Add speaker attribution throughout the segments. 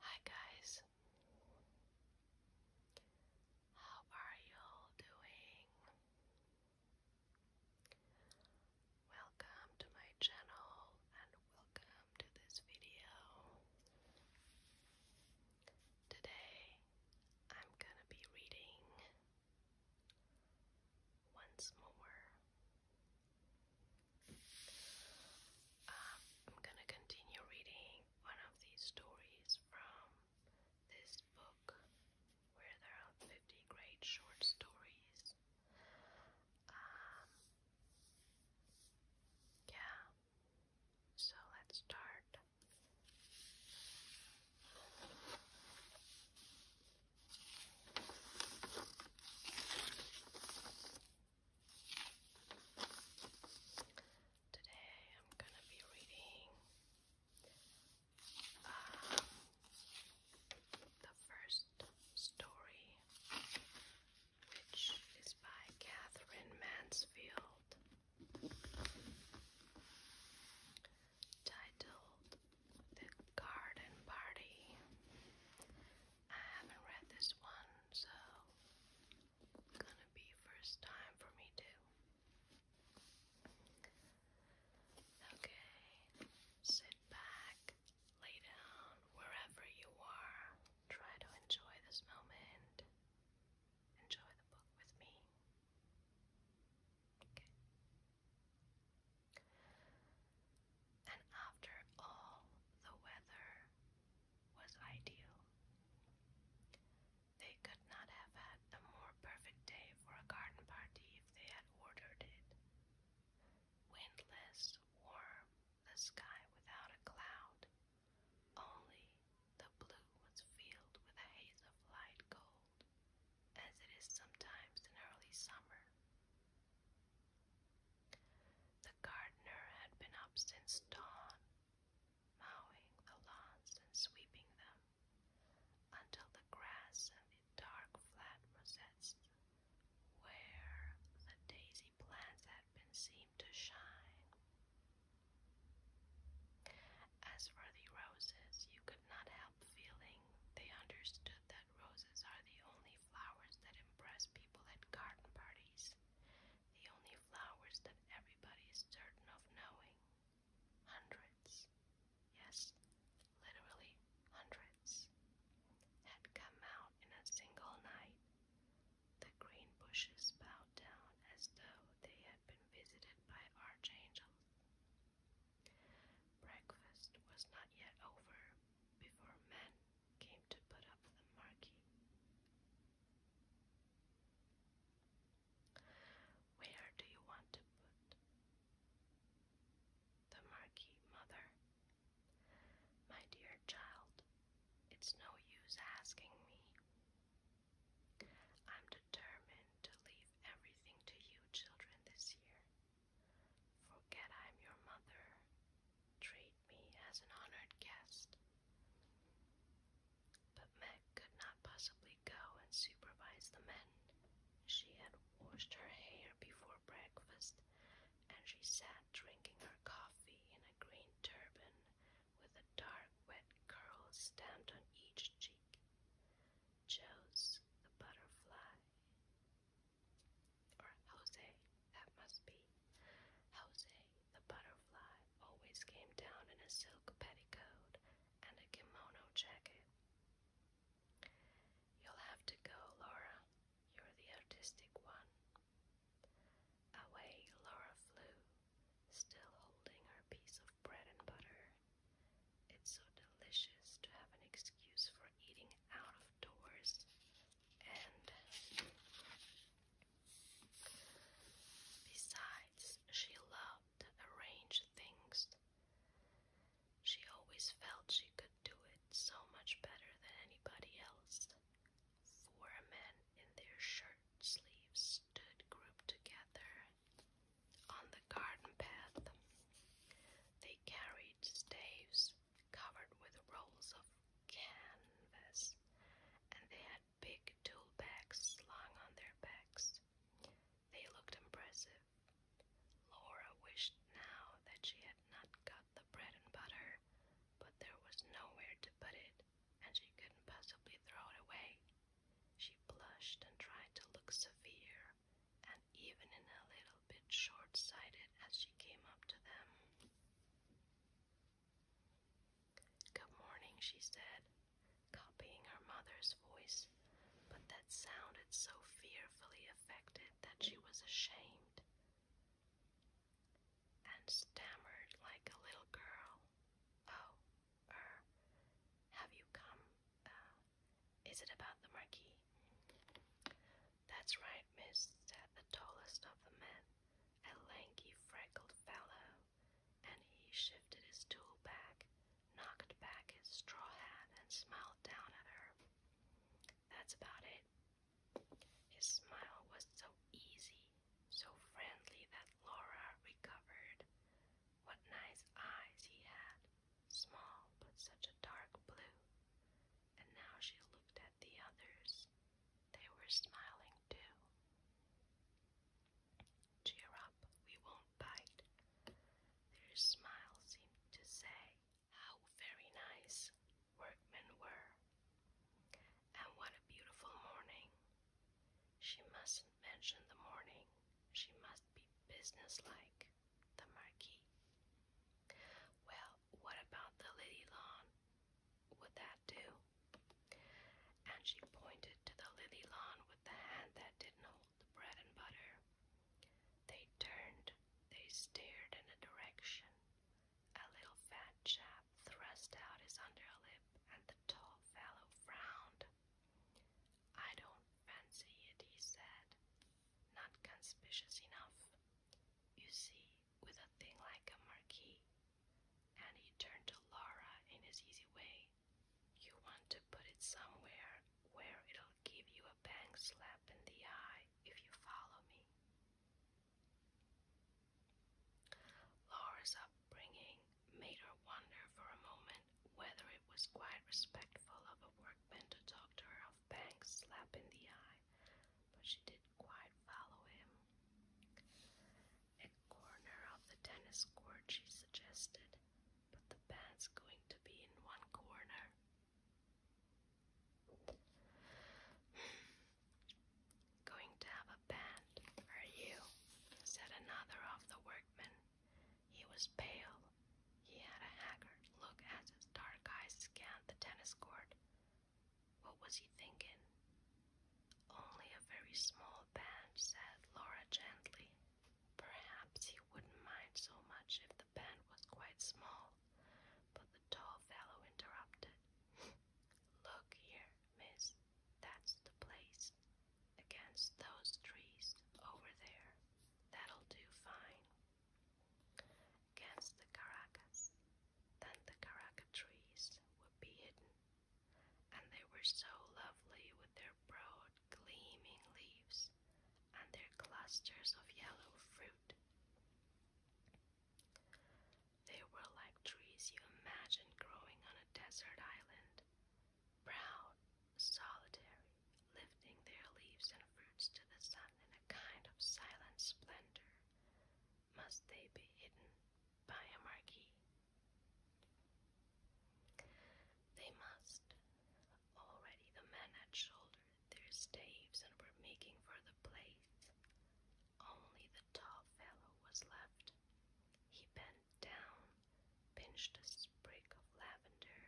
Speaker 1: Hi, guys. How are you all doing? Welcome to my channel and welcome to this video. Today I'm gonna be reading once more. Um, I'm gonna continue reading one of these stories from this book where there are 50 great short stories. Um, yeah, so let's start. Today I'm gonna be reading um, the first story, which is by Catherine Mansfield titled The Garden Party. I haven't read this one, so gonna be first time for me too. Okay, sit back, lay down wherever you are. Try to enjoy this moment enjoy the book with me. And after all, the weather was ideal. They could not have had a more perfect day for a garden party if they had ordered it. Windless, warm, the sky without a cloud, only the blue was filled with a haze of light gold, as it is sometimes in early summer. The gardener had been up since dawn, mowing the lawns and sweeping them until the grass and the dark flat rosettes where the daisy plants had been seemed to shine. As for the roses, you could not help feeling they understood that roses are the only flowers that impress people at garden parties, the only flowers that everybody is certain of knowing. Hundreds, yes, literally hundreds, had come out in a single night. The green bushes bowed bowed down as though they had been visited by archangels. Breakfast was not yet over before men came to put up the marquee. Where do you want to put the marquee, mother? My dear child, it's no use asking me. I'm determined to leave everything to you children this year. Forget I'm your mother. Treat me as an honored guest. But Meg could not possibly go and supervise the men. She had washed her hair before breakfast, and she sat drinking her coffee in a green turban with dark, wet curls stamped on each cheek cheek, chose the butterfly. Or Jose, that must be. Jose, the butterfly, always came down in a silk petticoat and a kimono jacket. You'll have to go, Laura. You're the artistic one. Away Laura flew, still holding her piece of bread and butter. It's so delicious to have an excuse for eating out of doors and besides she loved to things. She always felt she could do it so much better than anybody else. Four men in their shirt sleeves stood grouped together on the garden path, they carried staves covered with rolls of canvas, and they had big tool bags slung on their backs. They looked impressive. Laura wished now that she had not got the bread and butter, but there was nowhere to put it, and she couldn't possibly throw it away. She blushed and tried to look severe and even in a little bit short sighted as she came up to them. Good morning, she said, copying her mother's voice, but that sounded so fearfully affected that she was ashamed and stammered like a little girl. Oh, er, have you come? Uh, is it about the Marquis? That's right, miss, said the tallest of the men, a lanky, freckled fellow, and he shifted his stool back, knocked back his straw hat, and smiled down at her. That's about it. His smile was so easy, so friendly that Laura recovered. What nice eyes he had, small but such a dark blue. And now she looked at the others. They were smiling too. Cheer up, we won't bite. Their smile seemed to say how very nice workmen were. And what a beautiful morning! She mustn't mention the morning. She must be businesslike. The Marquis. Well, what about the lily lawn? Would that do? And she pointed to the lily lawn with the hand that didn't hold the bread and butter. They turned, they stared in a direction. A little fat chap thrust out his underlip, and the tall fellow frowned. I don't fancy it, he said, not conspicuous enough. You see, with a thing like a marquee. And he turned to Laura in his easy way. You want to put it somewhere where it'll give you a bang slap in the eye if you follow me. Laura's upbringing made her wonder for a moment whether it was quite respectful of a workman to talk to her of Banks' slap in the eye, but she didn't quite follow him. A corner of the tennis court, she suggested, but the band's going to be in one corner. Going to have a band, are you? said another of the workmen. He was pale. He had a haggard look as his dark eyes scanned the tennis court. What was he thinking? Only a very small band, said Laura gently. Perhaps he wouldn't mind so much if the band was quite small, but the tall fellow interrupted. Look here, miss, that's the place against those trees over there. That'll do fine. Against the caracas. Then the caraca trees would be hidden, and they were so lovely with their broad, gleaming leaves and their clusters of yellow fruit. They were like trees you imagine growing on a desert island, brown, solitary, lifting their leaves and fruits to the sun in a kind of silent splendor, must they be hidden by a marquee? They must. Already the men had shouldered their staves and were making for the place. Only
Speaker 2: the tall fellow was left. He bent down, pinched a sprig of lavender,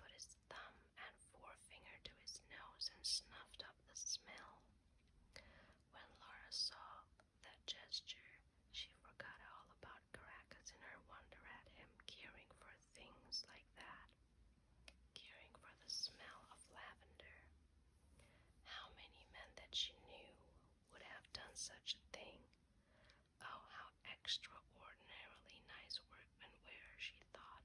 Speaker 2: put his thumb and forefinger to his nose,
Speaker 1: and snuffed up the smell. When Laura saw that gesture, she forgot all about Caracas in her wonder at him caring for things like that, caring for the smell of lavender. How many men that she knew would have done such a thing? Oh, how extraordinarily nice workmen were, she thought.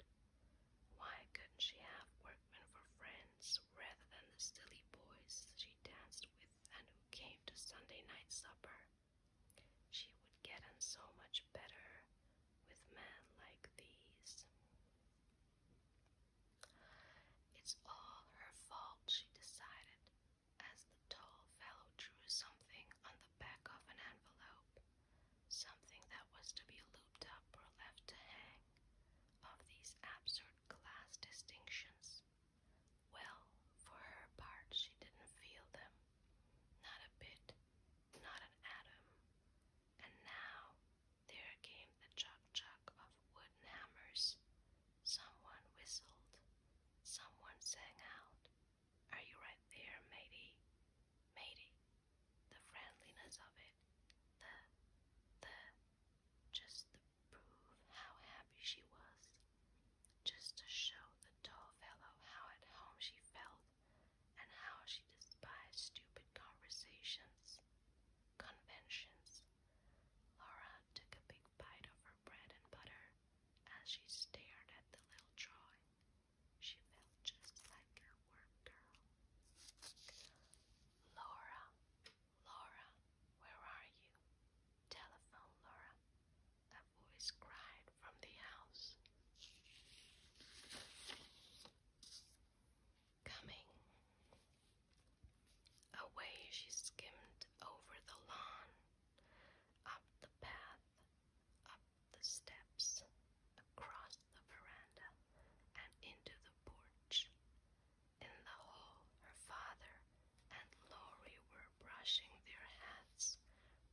Speaker 1: Why couldn't she have workmen for friends rather than the silly boys she danced with and who came to Sunday night supper? She would get on so much better with men like these. It's all her fault, she decided as the tall fellow drew something on the back of an envelope, something that was to be looped up or left to hang, of these absurd class distinctions. Well, for her part, she didn't feel them. Not a bit, not an atom. And now there came the chuck chuck of wooden hammers, Someone whistled. Someone sang out, Are you right there, matey? Matey. The friendliness of it. The, the, just to prove how happy she was. Just to show the tall fellow how at home she felt and how she despised stupid conversations, conventions. Laura took a big bite of her bread and butter as she stared at the little drawing, she felt just like her work girl. Laura, Laura, where are you? Telephone, Laura. A voice cried from the house. Coming. Away she skimmed over the lawn up the path, up the steps, across the veranda, and into the porch. In the hall, her father and Laurie were brushing their hats,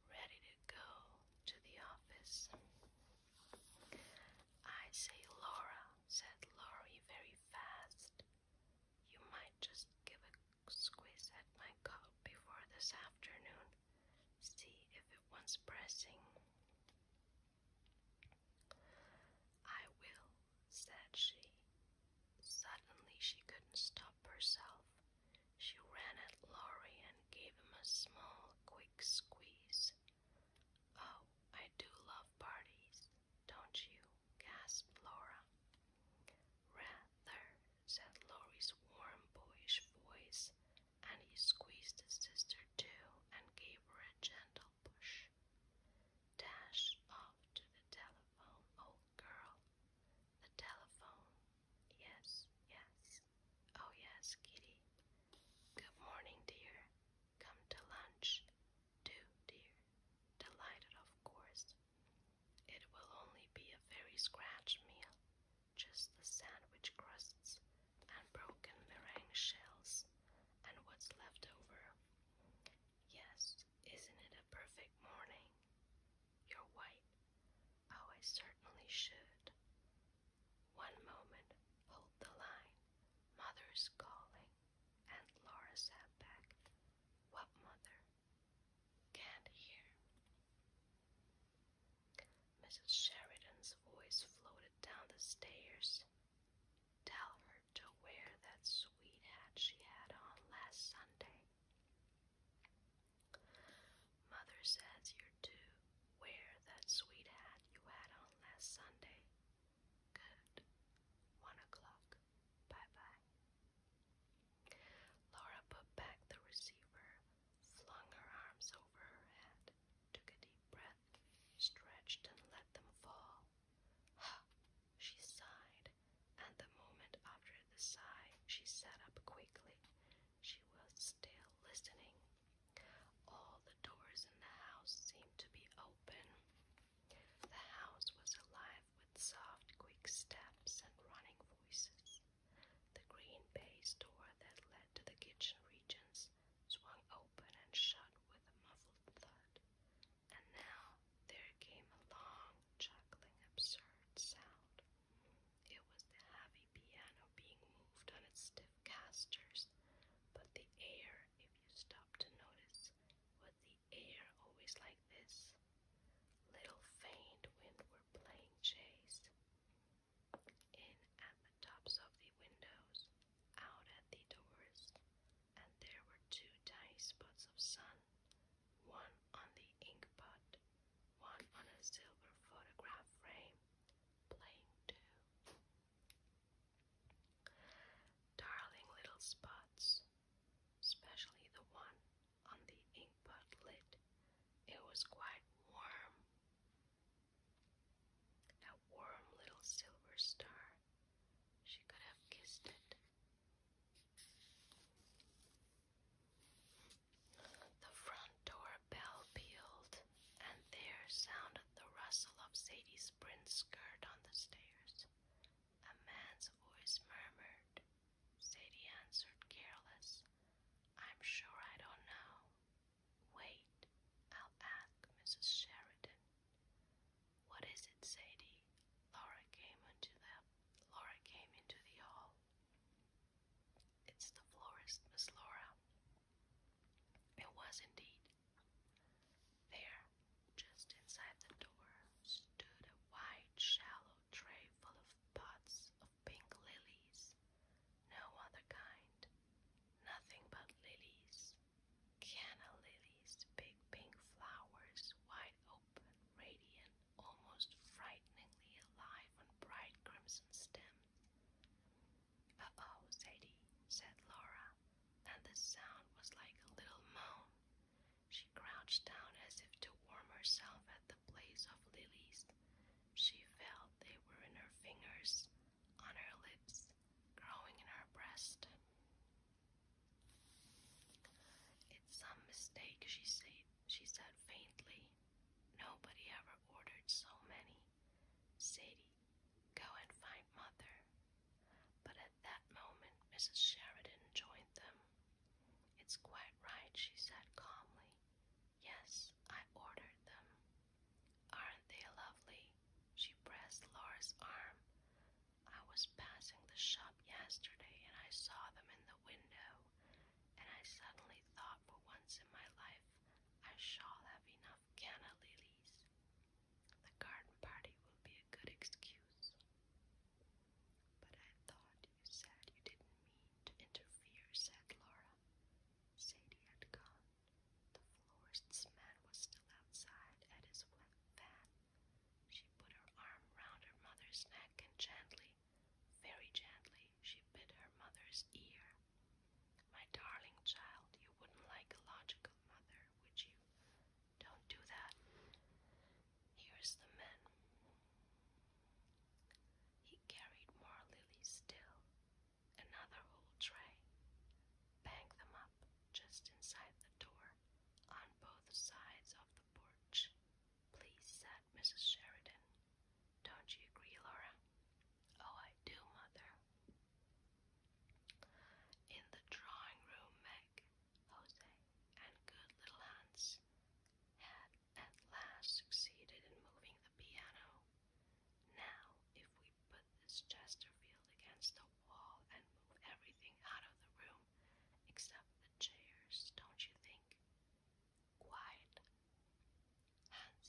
Speaker 1: ready to go to the office. I say, Laura, said Laurie very fast. You might just give a squeeze at my coat before this afternoon, see if it wants pressing. I will, said she. Suddenly she couldn't stop herself. She ran at Laurie and gave him a small, quick squeeze. Oh, I do love parties, don't you? gasped Laura. Rather, said Laurie's warm, boyish voice, and he squeezed his sister too and gave her a gentle push. Dash off to the telephone, old girl. The telephone. Yes, yes. Oh, yes, Kitty. Good morning, dear. Come to lunch. Do, dear. Delighted, of course. It will only be a very scratch meal, just the sandwich crusts and broken meringue shells and what's left over. Yes, isn't it a perfect morning? You're white. Oh, I certainly should. One moment, hold the line. Mother's calling. And Laura's sat back. What mother? Can't hear. Mrs. Sheridan's voice floated down the stairs. Tell her to wear that sweet hat she had on last Sunday. Mother says you're to wear that sweet hat you had on last Sunday. Good. One o'clock. Bye bye. Laura put back the receiver, flung her arms over her head, took a deep breath, stretched, and let them fall. Ha! She sighed, and the moment after the sigh, she sat up quickly. She was still listening. All the doors in the house seemed to be open. The house was alive with soft, quick steps and running voices. The green baize door that led to the kitchen regions swung open and shut with a muffled thud, and now there came a long, chuckling, absurd sound. It was the heavy piano being moved on its stiff casters, but the air, if you stopped to notice, was the air always like this. Little faint wind were playing chase. In at the tops of the windows, out at the doors, and there were two tiny spots of sun, one on the inkpot, one on a silver photograph frame, playing too. Darling little spots, especially the one on the inkpot lid. It was quite warm. A warm little silver star. She could have kissed it. The front door bell pealed, and there sounded the rustle of Sadie's print skirt on the stairs. A man's voice murmured, Sadie answered, careless. I'm sure I don't know. Wait, I'll ask Mrs. Sheridan. What is it, Sadie? Laura came into the Laura came into the hall. It's the florist, Miss Laura. It was indeed. There, just inside the door, stood a wide, shallow tray full of pots of pink lilies, no other kind, nothing but lilies, canna lilies, big pink flowers, wide open, radiant, almost frighteningly alive on bright crimson stem. Uh-oh, Sadie, said Laura, and the sound was like a little moan. She crouched down as if to warm
Speaker 2: herself at the place of lilies. She felt they were in her fingers, on her lips, growing in her breast.
Speaker 1: It's some mistake, she said, she said faintly. Nobody ever ordered so many. Sadie, go and find mother. But at that moment, Mrs. Sheridan joined them. It's quite right, she said calmly. Yes, I ordered them. Aren't they lovely? She pressed Laura's arm. I was passing the shop yesterday and I saw them in the window, and I suddenly thought for once in my life I shall have enough canna lilies. The garden party will be a good excuse. But I thought you said you didn't mean to interfere, said Laura. Sadie had gone. The florist's man was still outside at his wet van. She put her arm round her mother's neck and gently, very gently, she bit her mother's ear. My darling child, you wouldn't like a logical mother, would you? Don't do that. Here's the man. He carried more lilies still, another whole tray. Banked them up just inside the door, on both sides of the porch. Please, said Mrs. Sheridan. Don't you agree, Laura? Oh, I do, Mother. In the drawing room, Meg Jose, and good little Hans had at last succeeded in moving the piano. Now, if we put this Chesterfield against the wall and move everything out of the room except the chairs, don't you think? Quiet. Hans,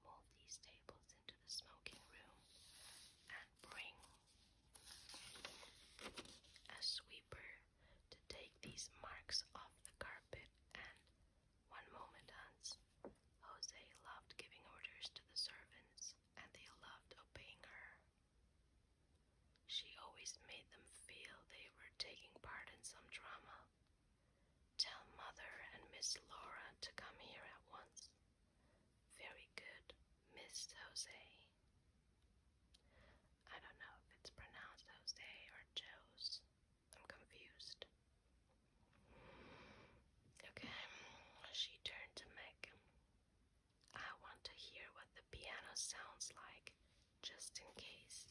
Speaker 1: move these tables into the smoking room and bring a sweeper to take these marks off the carpet and one moment, Hans. Jose loved giving orders to the servants, and they loved obeying her. She always made them feel they were taking part in some drama. Tell Mother and Miss Laura to come here at once. Very good, Miss Jose. I don't know if it's pronounced Jose or Joe's. I'm confused. Okay, she turned to Meg. I want to hear what the piano sounds like, just in case.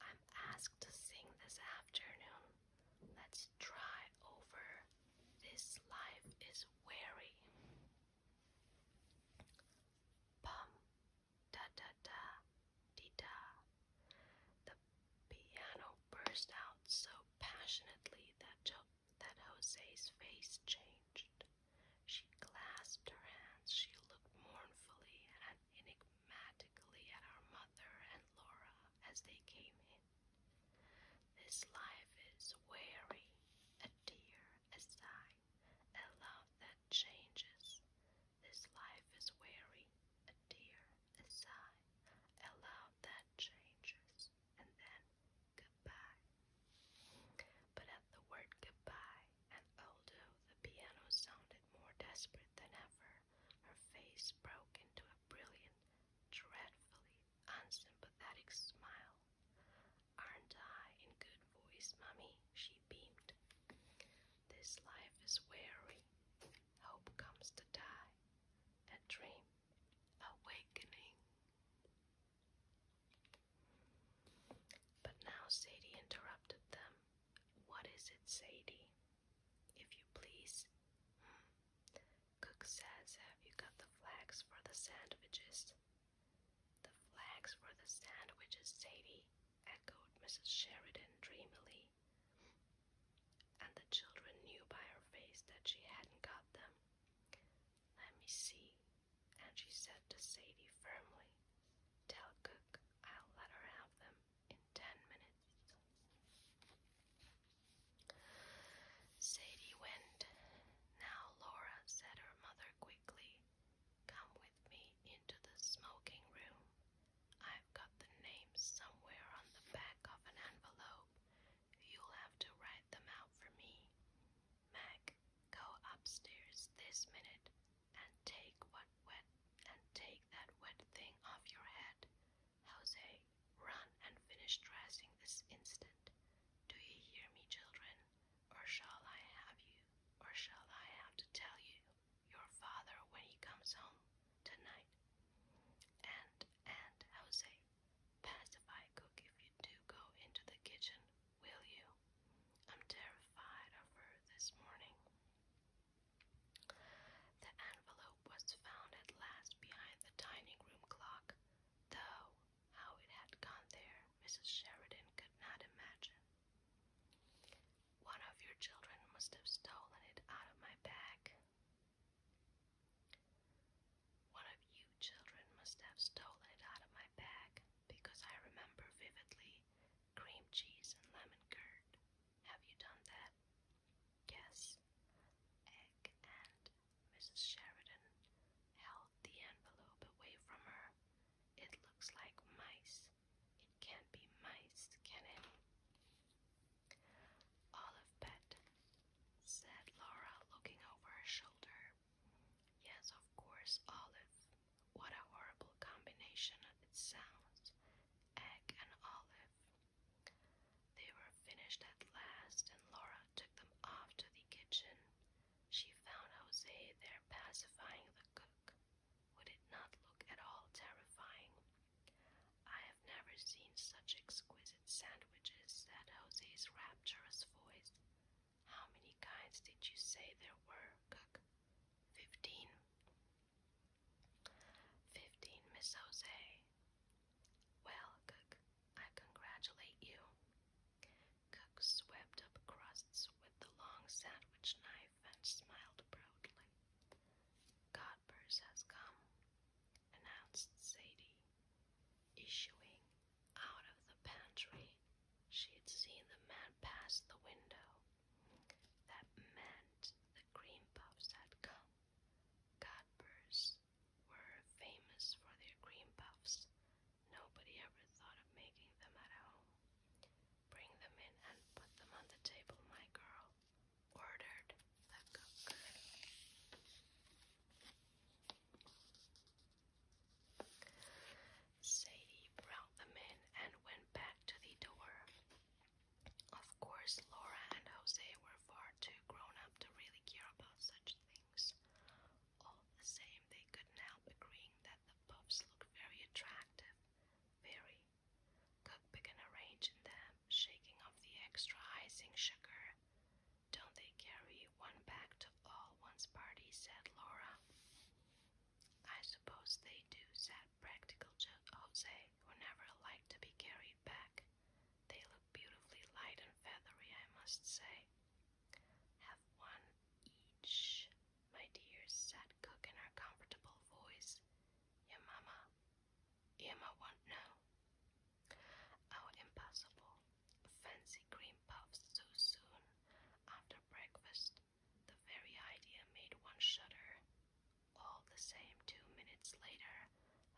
Speaker 1: I'm asked to sing this afternoon. Let's try over. This life is weary. Bum, da da da dee da. The piano burst out so passionately that, Jose's face changed. She clasped her hands, she looked mournfully and enigmatically at her mother and Laura as they came in. This life is weary, a tear, a sigh a love that changes. This life is weary, a tear, a sigh, a love that changes, and then goodbye. But at the word goodbye, and although the piano sounded more desperate than ever, her face broke into a brilliant, dreadfully unsympathetic smile. Aren't I in good voice, Mummy? She beamed. This life is weary. Hope comes to die. A dream. Awakening. But now Sadie interrupted them. What is it, Sadie? If you please. Hmm. Cook says, have you got the flags for the sandwiches? The flags for the sandwiches, Sadie, echoed Mrs. Sheridan dreamily. And the children knew by her face that she hadn't got them. Let me see, and she said to Sadie firmly, Tell Cook I'll let her have them in ten minutes. Sadie went. Now, Laura, said her mother quickly, Come with me into the smoking room. I've got the names somewhere on the back of an envelope. You'll have to write them out for me. Mac, go upstairs this minute and take what wet and take that wet thing off your head. Jose, run and finish dressing this instant. Do you hear me, children? or shall I have you, or shall I have to tell you your father when he comes home tonight? And, and, Jose, pacify cook if you do go into the kitchen, will you? I'm terrified of her this morning. The envelope was found at last behind the dining room clock, though how it had gone there Mrs. Sheridan could not imagine. One of your children must have stolen it out of my bag. One of you children must have stolen it out of my bag because I remember vividly cream cheese and lemon curd. Have you done that? Yes. Egg and Mrs. Sheridan held the envelope away from her. It looks like mice. It can't be mice, can it? Olive pet, said Laura, looking over her shoulder. Yes, of course, olive. What a horrible combination it sounds. Egg and olive. They were finished at last, and Laura took them off to the kitchen. She found Jose there pacifying the cook. Would it not look at all terrifying? I have never seen
Speaker 2: such exquisite sandwiches, said Jose's rapturous voice. How many
Speaker 1: kinds did you say there were, cook? Fifteen. Fifteen, Miss Jose. Well, cook, I congratulate you. Cook swept up crusts with the long sandwich knife and smiled proudly. Godber's has come, announced Sadie. Issuing out of the pantry, she had seen the man pass the window. That meant the cream puffs had come. Godber's were famous for their cream puffs. Nobody ever thought of making them at home. Bring them in and put them on the table, my girl, ordered the cook. Sadie brought them in and went back to the door. Of course, Laura and Jose were far too grown up to really care about such things. All the same, they couldn't help agreeing that the puffs look very attractive, very. Cookbook can arrange them, shaking off the extra icing sugar. Don't they carry one back to all one's party? said Laura. I suppose they do, said practical Jose, who never liked to be carried back. They look beautifully light and feathery, I must say. Have one each, my dear, said Cook in her comfortable voice. Your mamma. Irma won't know. How impossible. Fancy cream puffs so soon after breakfast. The very idea made one shudder. All the same, two minutes later,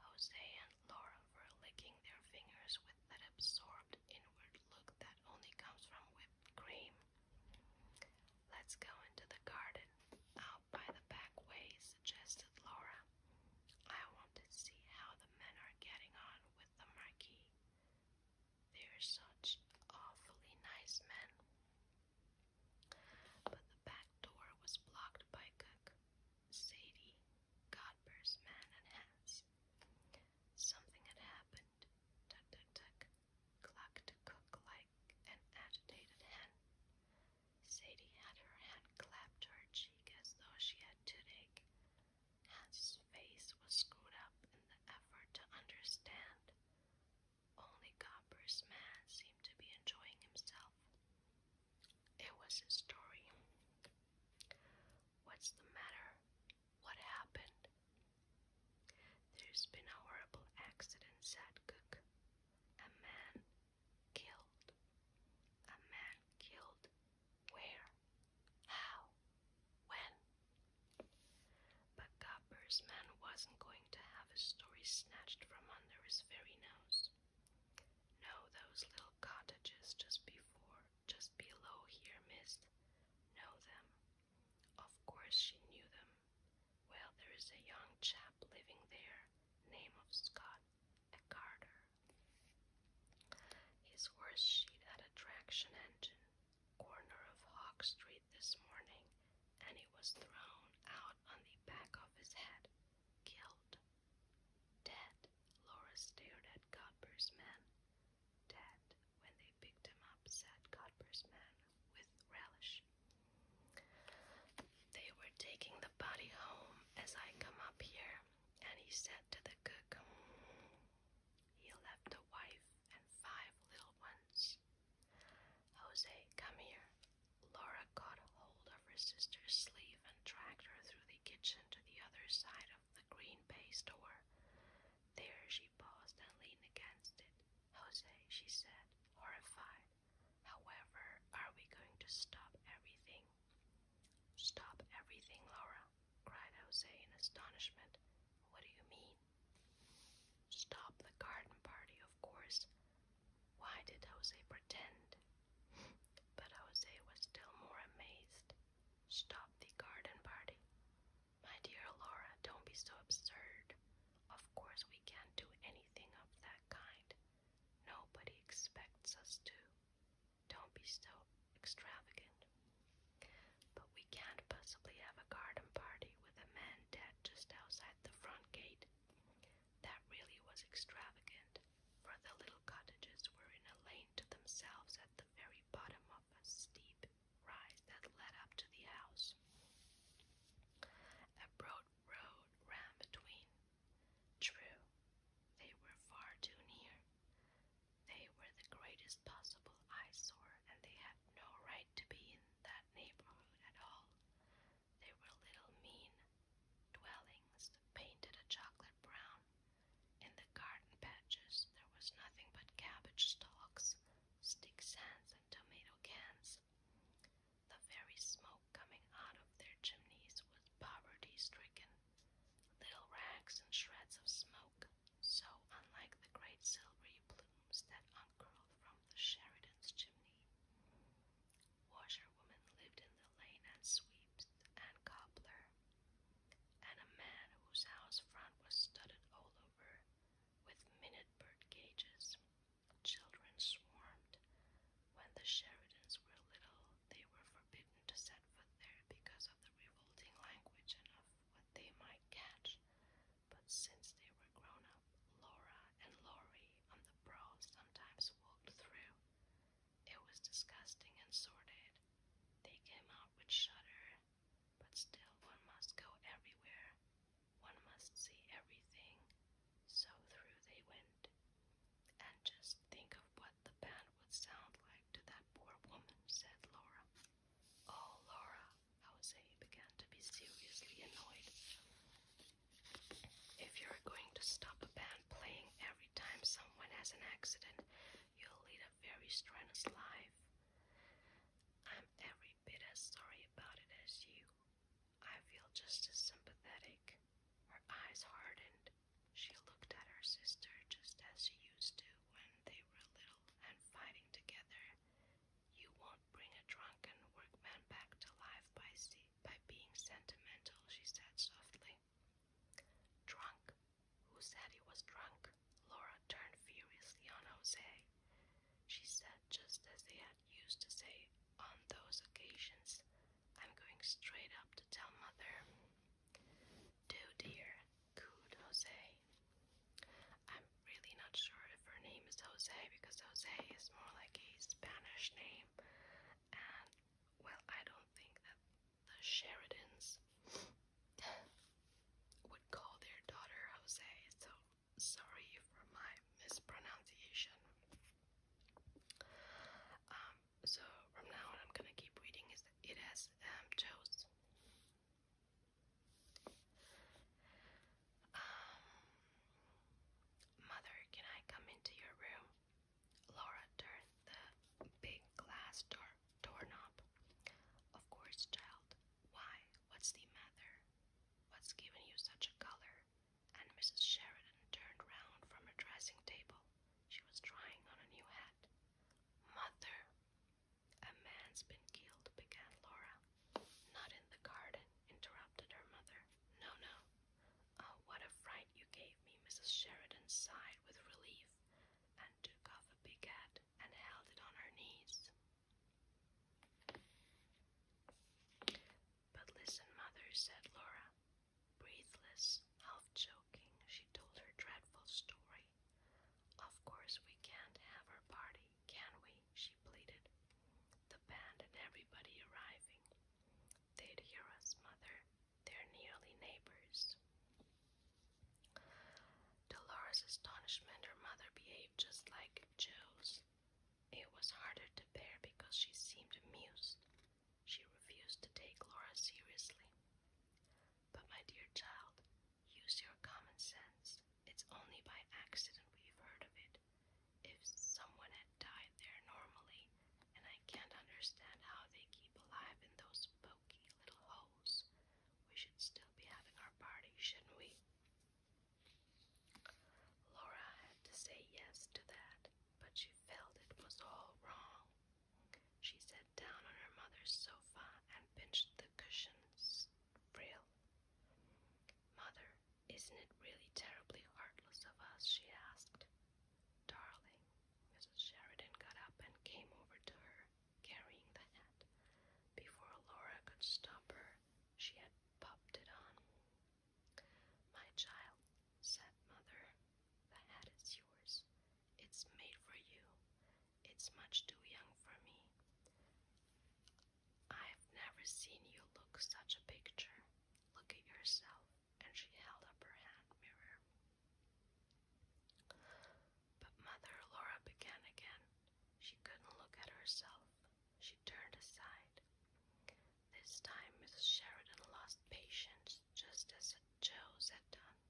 Speaker 1: Jose and Laura were licking their fingers with that absorbed inward look that only comes from whipped cream. Let's go into the garden, out by the back way, suggested Laura. I want to see how the men are getting on with the marquis. They're such awfully nice men. But the back door was blocked by Cook, Sadie, Godber's man, and Hans. Something had happened tuck, tuck, tuck, cook like an agitated hen. Sadie had her hand clapped to her cheek as though she had toothache. Hans' face was screwed up in the effort to understand. Only Copper's man seemed to be enjoying himself. It was his story. What's the matter? What happened? There's been a horrible accident, said Cook. A man killed. A man killed. Where? How? When? But Copper's man wasn't going to have his story snatched from under his very nose. No, those little cottages just before, just below here, Miss. Know them. Of course she knew them. Well, there is a young chap living there, name of Scott, a carter. His horse sheet had a traction engine, corner of Hawk Street this morning, and it was thrown out on the back of his head, killed. Dead, Laura stared at Godber's men. Dead, when they picked him up, said Godber's man with relish. They were taking the body home as I come up here, and he said to the cook, He left a wife and five little ones. Jose, come here. Laura caught hold of her sister's sleeve and dragged her through the kitchen to the other side of the green bay door. There she paused and leaned against it. Jose, she said, horrified. However, are we going to stop everything? Stop everything, Laura, cried Jose in astonishment. What do you mean? Stop the garden party, of course. Why did Jose pretend? But Jose was still more amazed. Stop the garden party? My dear Laura, don't be so absurd. Of course, we can't do anything of that kind. Nobody expects us to. Don't be so extravagant. But we can't possibly have a garden party with a man dead just outside the front gate. That really was extravagant, for the little cottages were in a lane to themselves at the very bottom of a steep ride that led up to the house. A broad road ran between. True, they were far too near. They were the greatest possible eyesore, and they had no right to be in that neighborhood at all. They were little mean dwellings painted a chocolate brown. In the garden patches, there was nothing but cabbage stalks stick sands, and tomato cans. The very smoke coming out of their chimneys was poverty stricken, little rags and shreds of smoke, so unlike the great silvery plumes that uncurled from the Sheridan's chimney. Washerwomen lived in the lane
Speaker 2: and sweeps and cobbler, and a man whose house front
Speaker 1: was studded all over with minute bird cages. Children swarmed. When the Sheridans were little, they were forbidden to set foot there because of the revolting language and of what they might catch. But since they were grown up, Laura and Laurie on the Brow sometimes walked through. It was disgusting
Speaker 2: and sordid. They came out with shudder but still one must go everywhere, one must see
Speaker 1: everything. So through they went. And just think of what the band would sound like to that poor woman, said Laura. Oh, Laura, Jose began to be seriously annoyed. If you're going to stop a band playing every time someone has an accident, you'll lead a very strenuous life. I'm ever every bit as sorry
Speaker 2: about it as you. I feel just as sympathetic. Her eyes hardened.
Speaker 1: She looked at her sister just as she used to when they were little
Speaker 2: and fighting together. You won't bring a drunken workman back to life
Speaker 1: by sea, by being sentimental, she said softly. Drunk? Who said he was drunk? Laura turned furiously on Jose. She said, just as they had used to say on those occasions, I'm going straight up to tell Mother. Do, dear, cooed Jose. I'm really not sure if her name is Jose because Jose is more like a Spanish name, and well, I don't think that the Sheridans would call their daughter Jose, so sorry for my mispronunciation. Um, so from now on, I'm gonna keep reading is it as um, Joe's. Um, Mother, can I come into your room? Laura turned the big glass door doorknob. Of course, child. Why? What's the matter? What's given you such a color? And Mrs. Sheridan turned round from her dressing table. She was trying on a new hat. Mother, a man's been killed, began Laura. Not in the garden, interrupted her mother. No, no. Oh, what a fright you gave me! Mrs. Sheridan sighed with relief and took off a big hat and held it on her knees. But listen, mother, said Laura. Breathless, half joking, she told her dreadful story. Of course, we can't have her party, can we? she pleaded. The band and everybody arriving. they mother. They're nearly neighbors. To Laura's astonishment her mother behaved just like Joe's. It was harder to bear because she seemed amused. She refused to take Laura seriously. But my dear child, use your common sense. It's only by accident we've heard of it. If someone had died there normally, and I can't understand how they keep alive in those poky little holes, we should still be having our party, shouldn't we? Laura had to say yes to that, but she felt it was all wrong. She sat down on her mother's sofa and pinched the cushion's frill. Mother, isn't it really terribly heartless of us? she asked. Darling, Mrs. Sheridan got up and came over to her, carrying the hat. Before Laura could stop her, she had popped it on. My child, said mother, the hat is yours. It's made for you. It's much too young for me. I've never seen you look such a picture. Look at yourself. And she held up her hand mirror. But Mother Laura began again. She couldn't look at herself. She turned aside. This time Mrs. Sheridan lost patience, just as Joe's had done.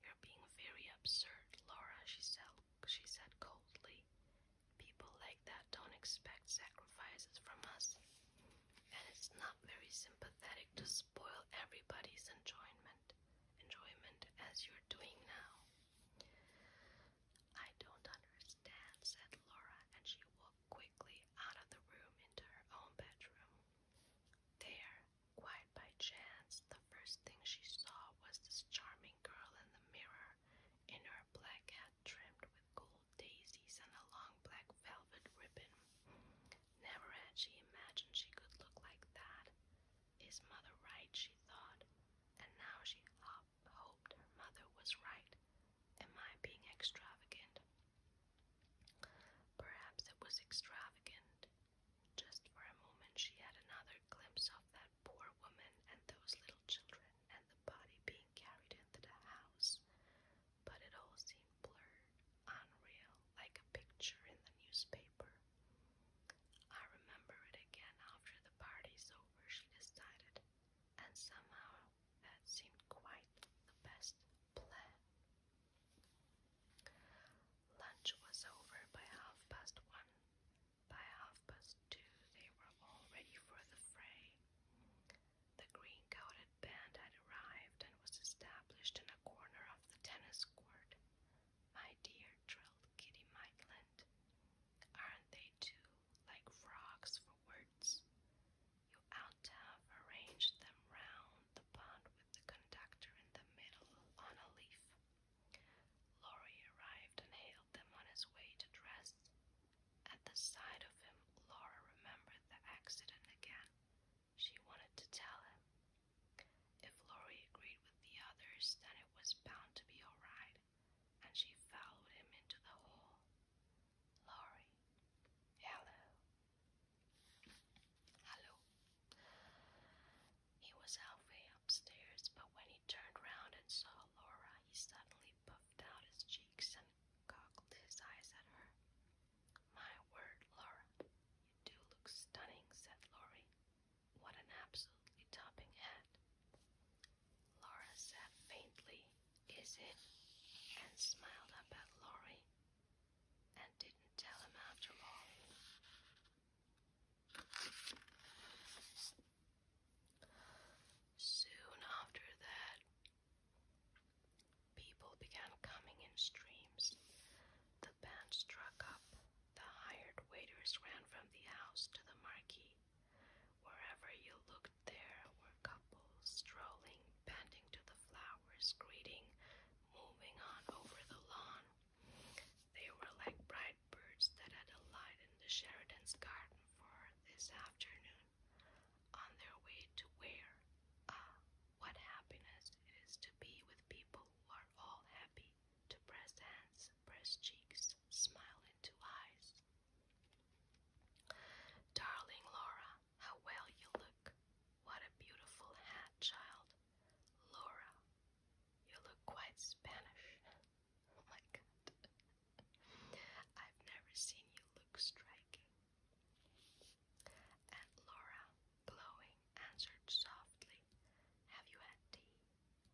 Speaker 1: You're being very absurd, Laura, she said, she said coldly. People like that don't expect sacrifices from us. And it's not very sympathetic to spoil everybody's enjoyment enjoyment as you're doing now. I don't understand, said Laura, and she walked quickly out of the room into her own bedroom. There, quite by chance, the first thing she saw was this charming girl in the mirror, in her black hat trimmed with gold daisies and a long black velvet ribbon. Never had she imagined she could look like that. Is mother right? she thought, and now she hopped hoped her mother was right. Am I being extravagant? Perhaps it was extravagant. Just for a moment, she had another glimpse of that poor woman and those little children and the body being carried into the house. But it all seemed blurred, unreal, like a picture in the newspaper. I remember it again after the party's over over, she decided, and somehow that seemed quite the best plan. Lunch was over by half past one. By half past two, they were all ready for the fray. The green coated band had arrived and was established in a corner of the tennis court. My dear, trilled Kitty Maitland, aren't they too like frogs for words? You ought to have arranged them round the pond with the conductor in the middle on a leaf. Laurie arrived and hailed them on his way to dress. At the sight of him, Laura remembered the accident again. She wanted to tell him. If Laurie agreed with the others, then it was bound to be all right and she followed him into the hall. Laurie, hello. Hello. He was halfway upstairs, but when he turned round and saw Laura, he suddenly puffed out his cheeks and cocked his eyes at her. My word, Laura, you do look stunning, said Laurie. What an absolutely topping hat! Laura said faintly, Is it? and smiled up at Laurie and didn't tell him after all. Soon after that, people began coming in streams. The band struck up. The hired waiters ran from the house to the marquee. Wherever you looked, there were couples strolling, bending to the flowers, greeting, moving on over the lawn. They were like bright birds that had alighted in the Sheridan's garden for this afternoon, on their way to where? Ah, what happiness it is to be with people who are all happy, to press hands, press cheeks, smile into eyes. Darling Laura, how well you look. What a beautiful hat, child. Laura, you look quite Spanish. Oh my god. I've never seen you look striking. And Laura, glowing, answered softly, Have you had tea?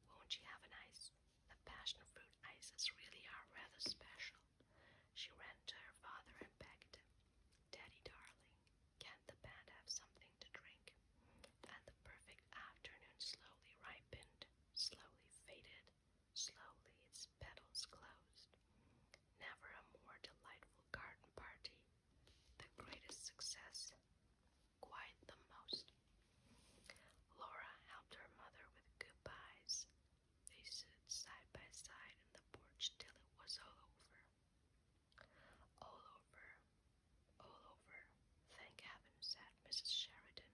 Speaker 1: Won't you have an ice? The passion fruit ices really rather special. She ran to her father and begged him, Daddy darling, can't the band have something to drink? And the perfect afternoon slowly ripened, slowly faded, slowly its petals closed. Never a more delightful garden party. The greatest success quite the most. Laura helped her mother with goodbyes. They stood side by side in the porch till it was all over. All over, all over. Thank heaven, said Mrs. Sheridan.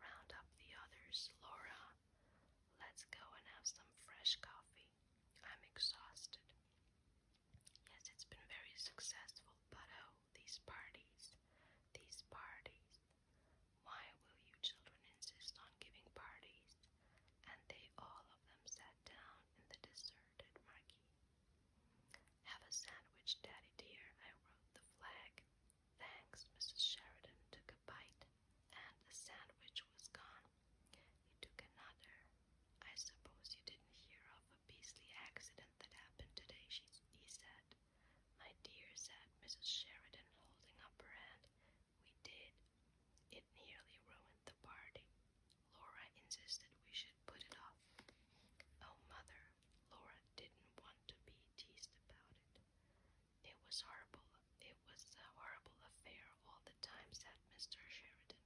Speaker 1: Round up the others, Laura. Let's go and have some fresh coffee. I'm exhausted. Yes, it's been very successful, but oh,
Speaker 2: these parties, these parties. Why will you children insist on giving parties? And they all of them sat down in the deserted
Speaker 1: marquee. Have a sandwich, Daddy dear, I wrote the flag. Thanks, Mrs. Sheridan took a bite, and the sandwich was gone. He took another. I suppose you didn't hear of a beastly accident that happened today, she, he said. My dear, said Mrs. Sheridan, holding up her hand, we did. It nearly ruined the party. Laura insisted we should put it off. Oh, Mother, Laura didn't want to be teased about it. It was horrible. It was a horrible affair all the time, said Mr. Sheridan.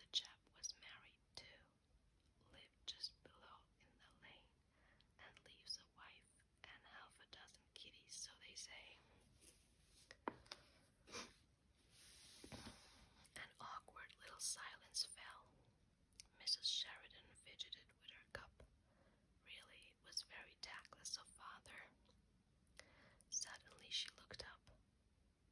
Speaker 1: The chap was married, too lived just below in the lane and leaves a wife and half a dozen kitties, so they say. An awkward little silence fell. Mrs. Sheridan fidgeted with her cup. Really, was very tactless of father. Suddenly she looked up.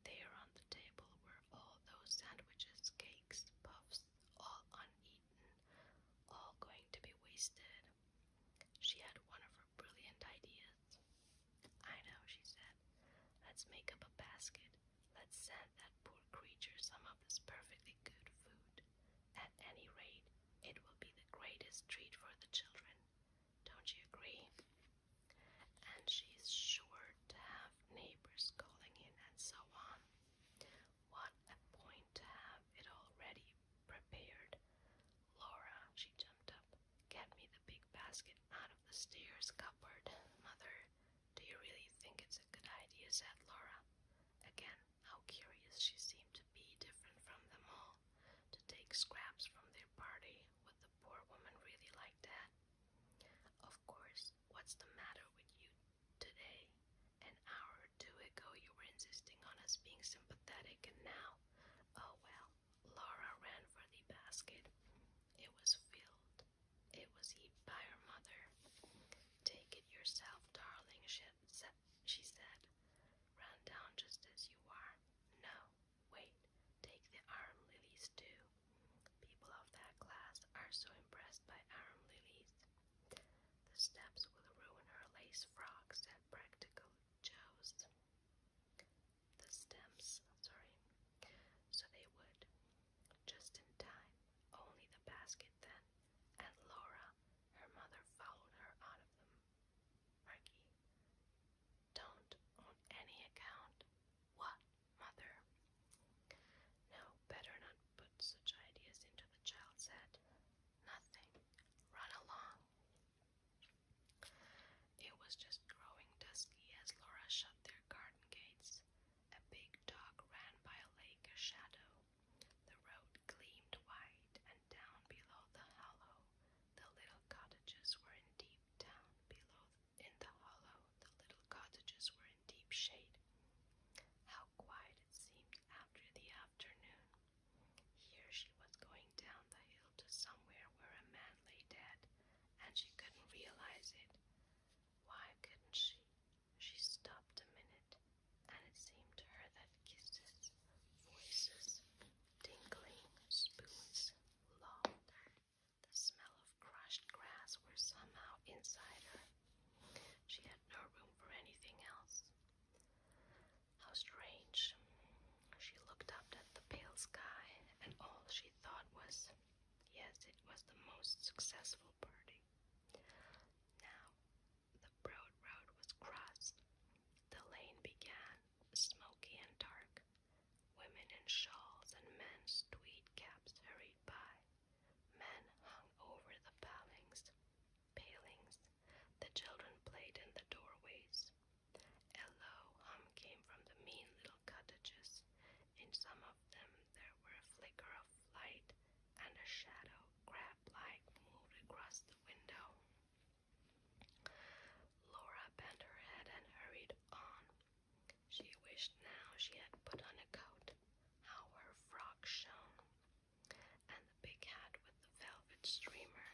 Speaker 1: There on the table were all those sandwiches, cakes, puffs, all uneaten all going to be wasted. She had one of her brilliant ideas. I know, she said. Let's make up a basket. Let's send that poor creature some of this perfectly good food. At any rate, it will be the greatest treat for the children. Don't you agree? And she's sure to have neighbors calling in and so on. What a point to have it already prepared. Laura, she jumped up. Get me the big basket out of the stairs cupboard, Mother. Do you really think it's a good idea? said Laura. Again, how curious she seemed to be, different from them all, to take scraps from their party. Would the poor woman really like that? Of course, What's the matter with you today? An hour or two ago, you were insisting on us being sympathetic, and now. Oh well, Laura ran for the basket. It was filled. It was heaped by her mother. Take it yourself, darling, she said. Run down just as you are. No, wait, take the arm lilies too. People of that class are so impressed by arm lilies. The steps will ruin her lace frock, That Practical Joe's. The stems, sorry. So they would. Just in time, only the basket then, and Laura, her mother, followed her out of them. Marky, don't on any account. What, mother? No, better not put such ideas into the child's head. Nothing. Run along. It was just growing dusky as Laura shut their garden gates. A big dog ran by a lake, a shadow. The road gleamed white, and down below the hollow, the little cottages were in deep down below. In the hollow, the little cottages were deep shade. How quiet it seemed after the afternoon. Here she was going down the hill to somewhere where a man lay dead, and she couldn't realize it. Why couldn't she? She stopped a minute, and it seemed to her that kisses, voices, tinkling spoons, laughter, the smell of crushed grass were somehow inside her. She had no room for anything else. How strange. She looked up at the pale sky, and all she thought was, yes, it was the most successful party. Now, the broad road was crossed. The lane began, smoky and dark. Women in shawls and men's tweed caps hurried by. Men hung over the palings, palings. The children played in the doorways. A low hum came from the mean little cottages. In some of them there were a flicker of light and a shadow, crab-like, moved across the window. Laura bent her head and hurried on. She wished now she had put on a coat how her frock shone, and the big hat with the velvet streamer,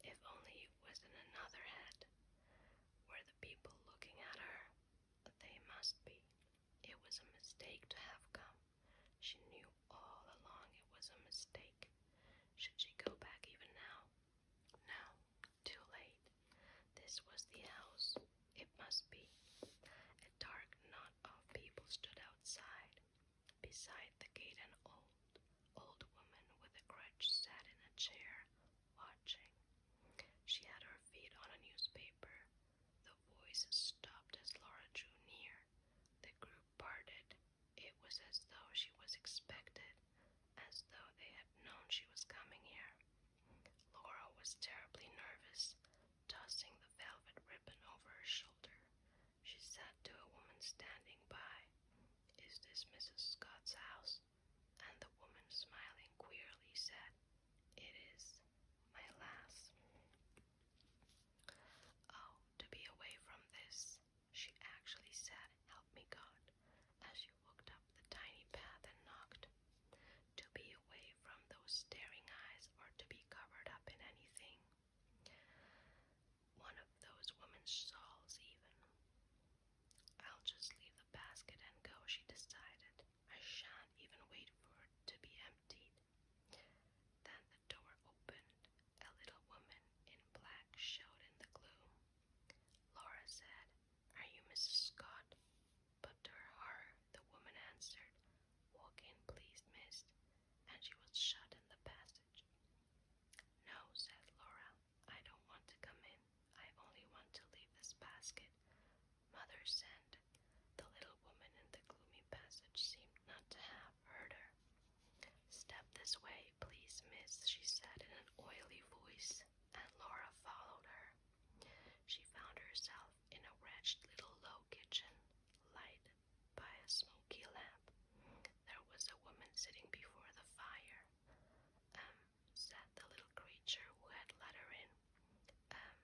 Speaker 1: if only it was in another head. Were the people looking at her? They must be. It was a mistake to have come. She knew all along it was a mistake. Should she go back even now? No, too late. This was the house. It must be. A dark, non of people stood outside. Beside the gate, an old, old woman with a crutch sat in a chair, watching. She had her feet on a newspaper. The voice stopped as Laura drew near. The group parted. It was as though she was expected, as though they had known she was coming here. Laura was terribly nervous tossing the velvet ribbon over her shoulder. She said to a woman standing by, Is this Mrs. Scott's house? And the woman, smiling
Speaker 2: queerly, said, It is, my lass. Oh, to be away from this, she actually said, Help me, God, as she walked up the tiny path and knocked to be away from those staring eyes or to be covered
Speaker 1: up in anything. One of those women's shawls, even. I'll just leave the basket and go, she decided. I shan't even wait for it to be emptied. Then the door opened. A little woman in black showed in the gloom. Laura said, Are you Mrs. Scott? But to her the woman answered, Walk in, please, miss, and she was shut in the passage. No, said Laura, I don't want to come in. I only want to leave this basket. Mother sent. The little woman in the gloomy passage seemed not to have heard her. Step this way, please, miss, she said in an oily voice, and Laura followed her. She found herself in a wretched little low kitchen, light by a smoky lamp. There was a woman sitting before the fire. Um, said the little creature who had let her in. Um,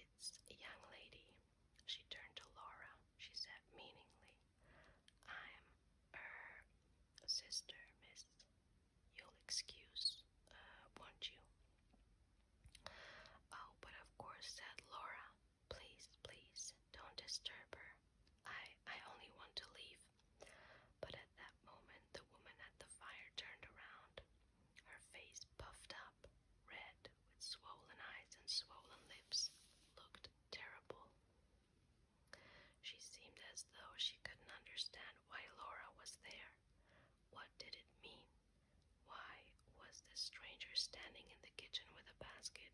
Speaker 1: it's a young lady. She turned to Laura. She said meaningly, I'm her sister, miss. You'll excuse, uh, won't you? Oh, but of course, said Laura. Please, please, don't disturb her. I, I only want to leave. But at that moment, the woman at the fire turned around, her face puffed up, red, with swollen eyes and swollen lips, looked terrible. She seemed as though she couldn't understand why Laura was there. What did it mean? Why was this stranger standing in the kitchen with a basket?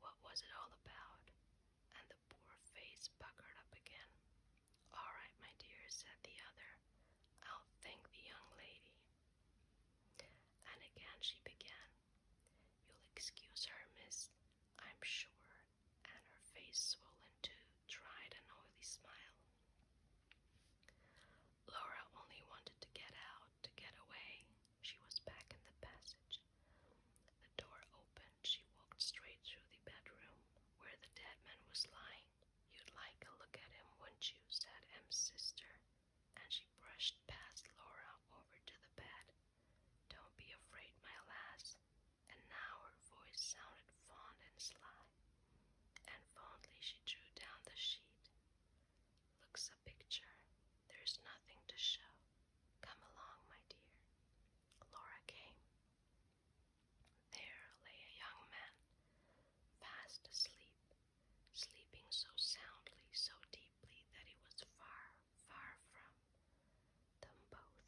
Speaker 1: What was
Speaker 2: it all about? And the poor face puckered up again. All right, my dear, said the other. I'll thank
Speaker 1: the young lady. And again she began. You'll excuse her, miss, I'm sure. And her face swollen to, dried an oily smile. Laura only wanted to get out, to get away. She was back in the passage. The door opened. She walked straight through the bedroom where the dead man was lying. You'd like a look at him, wouldn't you? said M's sister. And she brushed past Laura over to the bed. Don't be afraid, my lass. And now her voice sounded fond and sly. And fondly she drew down the sheet Looks a picture. There's nothing to show. Come along, my dear. Laura came. There lay a young man, fast asleep, sleeping so soundly, so deeply that he was far, far from them both.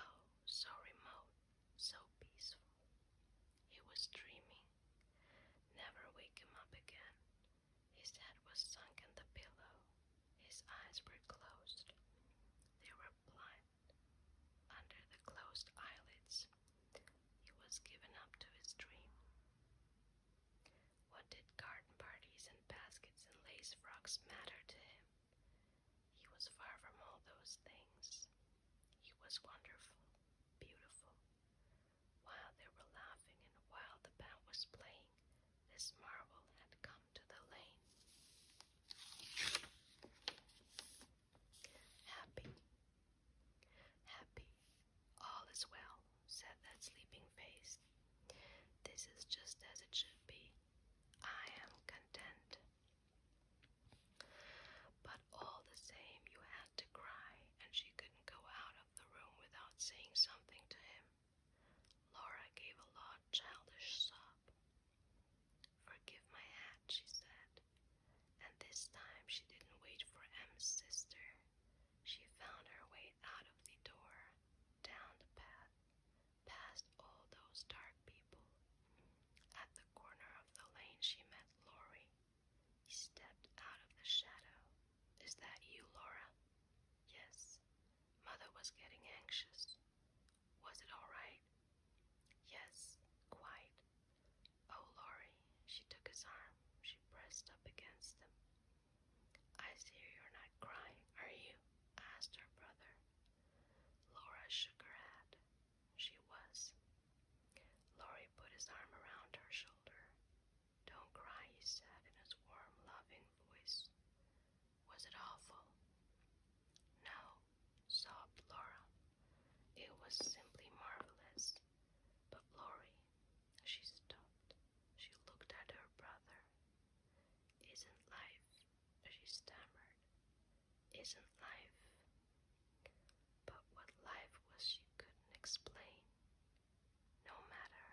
Speaker 1: Oh, so remote, so peaceful. He was dreaming. Never wake him up again. His head was sunk in the pillow. His eyes were closed. They were blind. Under the closed eyelids, he was given up to his dream. What did garden parties and baskets and lace frocks matter to him? He was far from all those things. He was wonderful beautiful. While they were laughing and while the band was playing, this marvel had come to the lane. Happy, happy, all is well, said that sleeping face. This is just as it should be. I am content. But all the same, you had to cry, and she couldn't go out of the room without saying something to him. Laura gave a loud, childish sob. Forgive my hat, she said. And this time she didn't wait for M's sister. She found her way out of the door, down the path, past all those dark people. At the corner of the lane, she met Laurie. He stepped out of the shadow. Is that you, Laura? Yes. Mother was getting anxious. Was it all right? Yes, quite. Oh, Laurie. She took his arm. She pressed up against him. I see you're not crying, are you? asked her brother. Laura shook her head. She was. Laurie put his arm around her shoulder. Don't cry, he said in his warm, loving voice. Was it awful? No, sobbed Laura. It was simply marvelous. But Laurie, she stopped. She looked at her brother. Isn't life, she stammered, isn't life but what life was she couldn't explain. No matter.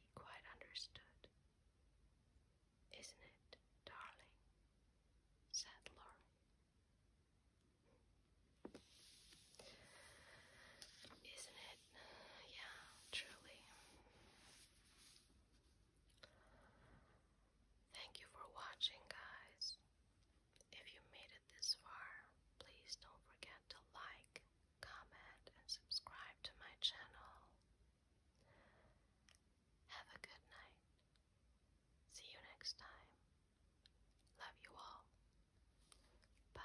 Speaker 1: He quite understood. Isn't it, darling? said Laurie. Isn't it? Yeah, truly. Thank you for watching, guys. If you made it this far, please don't forget to like, comment, and subscribe to my channel. Have a good night. See you next time. Love you all. Bye.